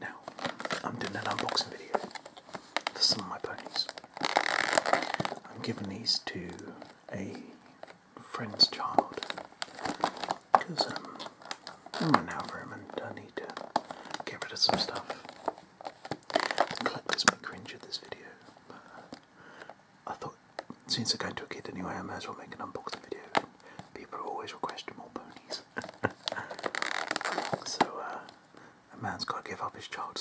Now, I'm doing an unboxing video for some of my ponies. I'm giving these to a friend's child because um, I'm running out of room and I need to get rid of some stuff. The collectors may cringe at this video, I thought since I can't do a kid anyway, I might as well make an unboxing video. And people always request more ponies. so uh, a man's got to give up his child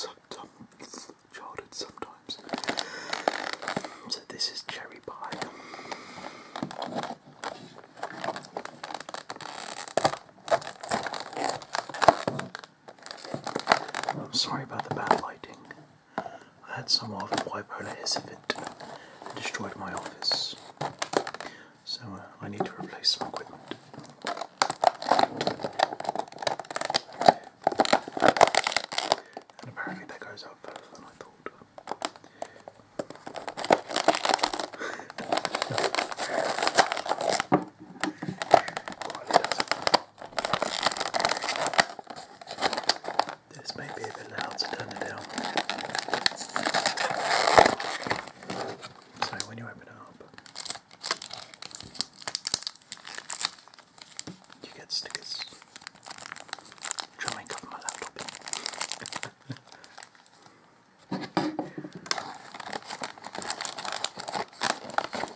childhood sometimes. So this is cherry pie. I'm sorry about the bad lighting. I had some of a bipolar hiss of it and destroyed my office. So uh, I need to replace some equipment. And apparently that goes up further than I thought. Quite this might be a bit loud, so turn it down. So when you open up, you get stickers. I'm cover my laptop. A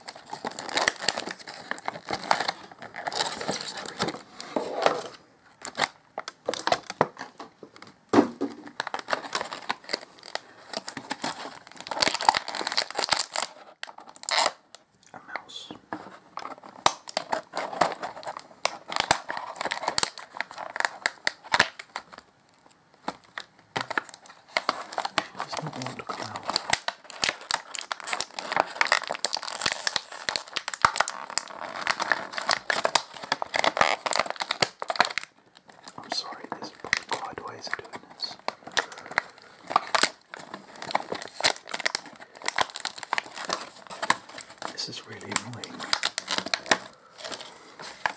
mouse. There's no one to clown. I'm sorry, there's probably quite doing this. This is really annoying.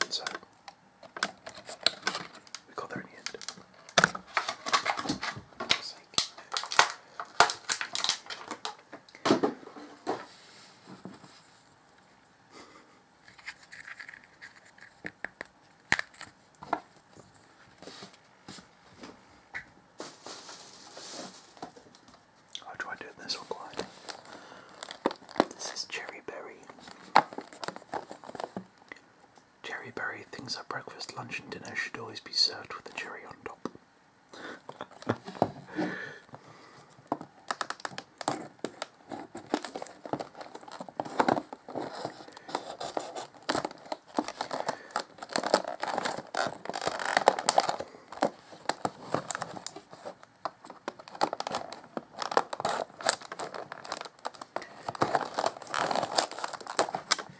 So we got there in the end. I'll try doing this one quiet. This is Cherry Berry. Cherry Berry things that breakfast, lunch, and dinner should always be served with a cherry on top.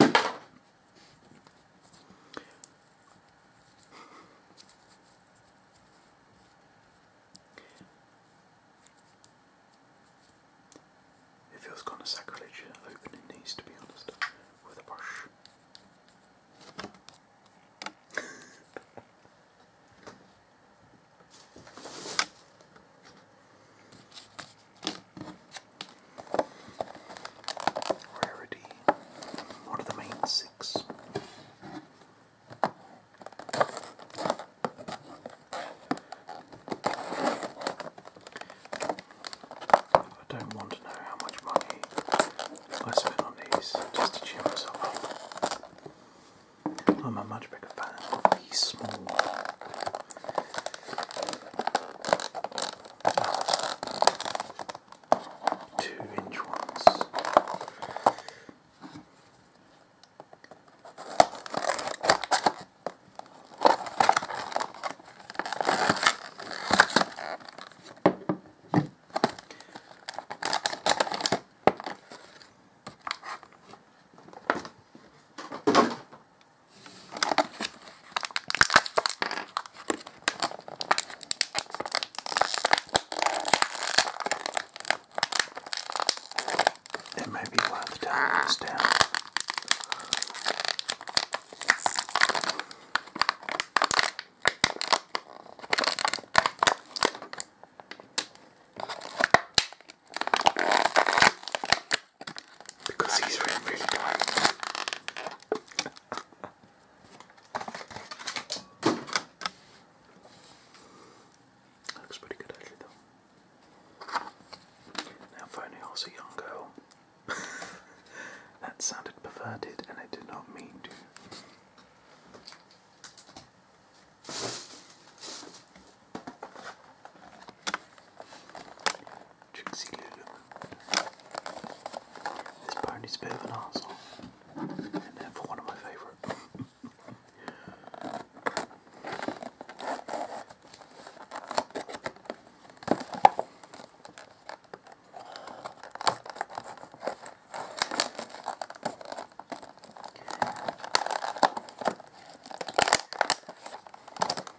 It feels kind of sacrilege opening these, to be honest, with a brush. Rarity, one of the main six. I don't want to know how much money I spent on these just to cheer myself up. I'm a much bigger fan of the small two inch ones. It may be worth turning this down because he's really, really tight. Looks pretty good actually though. Now if I was a young girl. that sounded perverted and I did not mean to. Trixie Lulu. This pony's a bit of an asshole. and therefore one of my favourite.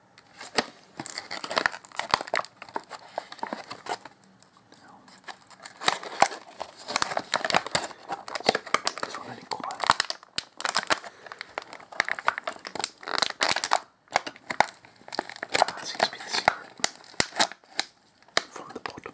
Now, this one any quiet. That seems to be the secret from the bottom.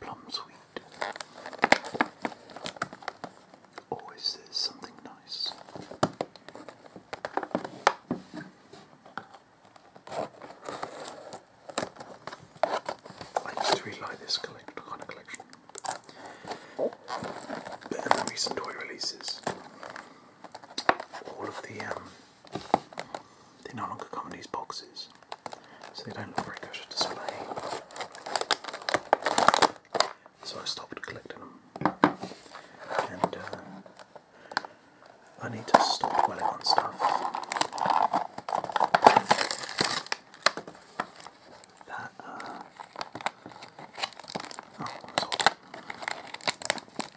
Plum sweet. Always there's something nice. I used to really like this kind of collection. But in the recent toy releases, all of the um, they no longer come in these boxes, so they don't look very good to display. So I stopped collecting them, and uh, I need to stop dwelling on stuff that. Uh, oh,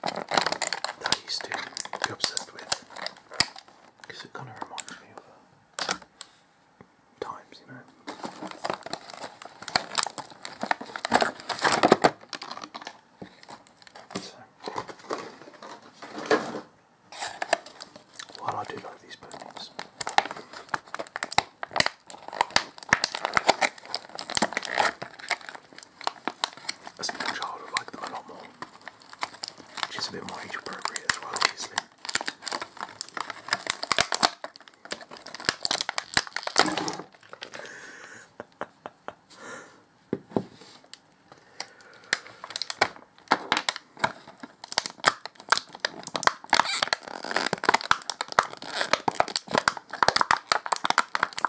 that I used to be obsessed with because it kind of reminds me of uh, times, you know. while I do like these poems. As a young child, I liked them a lot more, which is a bit more age appropriate as well, obviously.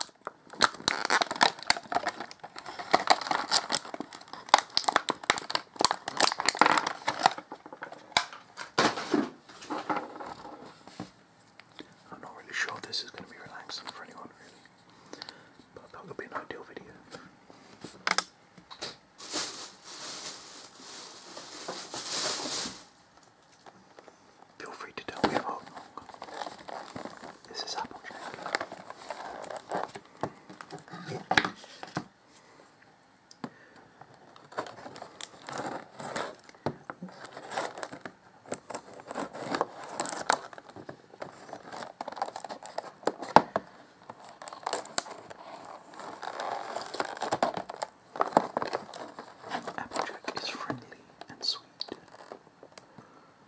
I'm not really sure this is going to be relaxing for anyone, really, but that would be an ideal video. Feel free to tell me about This is apple Applejack is friendly and sweet.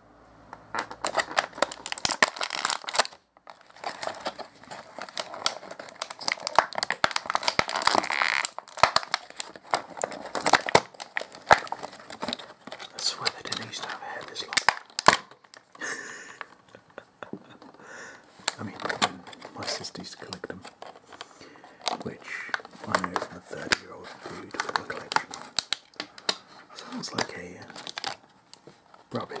I swear they didn't used to have hair this long. I mean, my sister used to collect them, which I know is a 30 year old dude with a collection. Sounds like a uh, rubbish.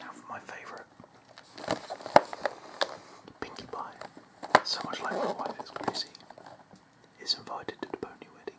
now for my favourite. Pinkie Pie, so much like my wife is crazy, is invited to the pony wedding.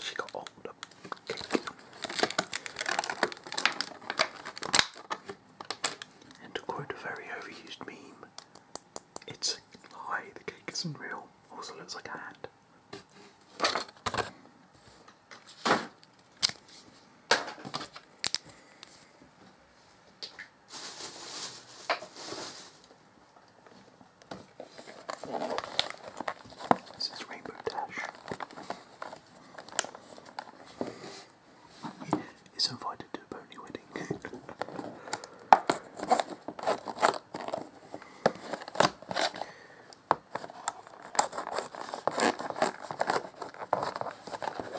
She got all and to quote a very overused meme, it's a lie, the cake isn't real, also looks like a hat. This is Rainbow Dash. Is invited to a pony wedding.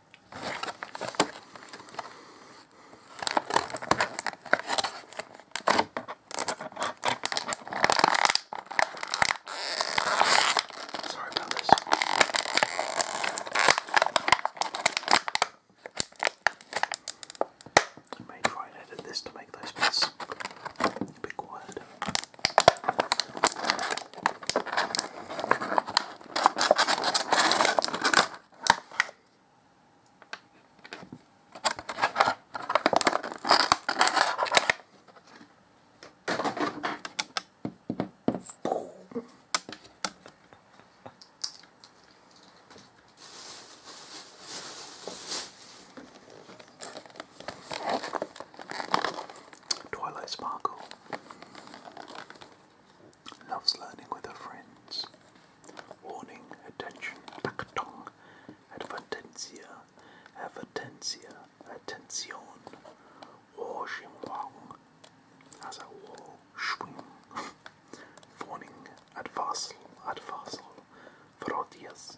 Sorry about this. I may try and edit this to make those bits a bit quiet. Twilight Sparkle. Loves learning with her friends. Warning, attention, pactong, advertencia, advertencia, attention, or wang, as a wall, schwing. Warning, advarsal, advarsal, frodias.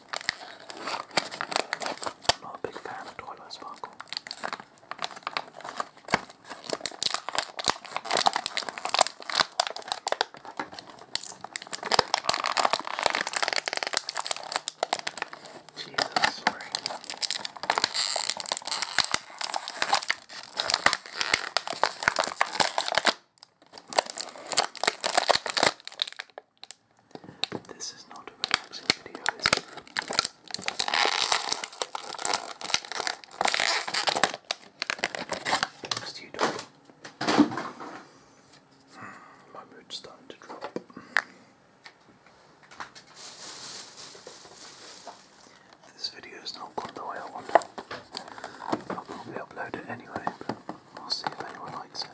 I'm not a big fan of Twilight Sparkle. Jesus, sorry. This is not a relaxing video, is hmm, My mood's starting to drop. This video is not gone the way I wanted. I'll probably upload it anyway, We'll see if anyone likes it.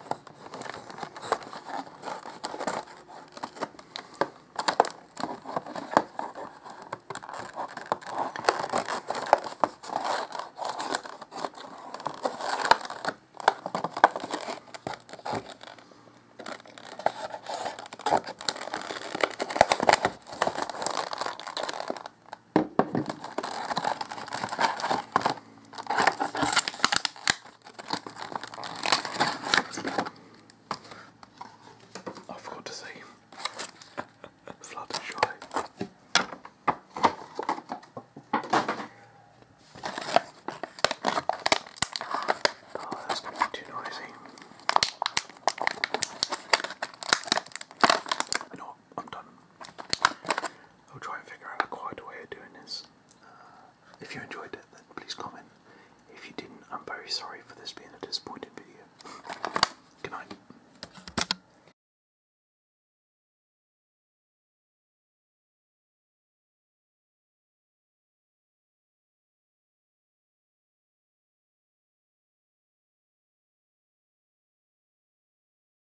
I forgot to say Fluttershy. Oh, that's I'm done. I'll try and figure out a quieter way of doing this. Uh, if you enjoyed it, then please comment. If you didn't, I'm very sorry for this being a disappointing video. Good night.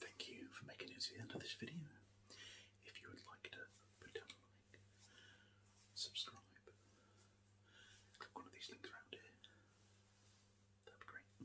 Thank you for making it to the end of this video. If you would like to put down a like, subscribe, click one of these links around here. That'd be great.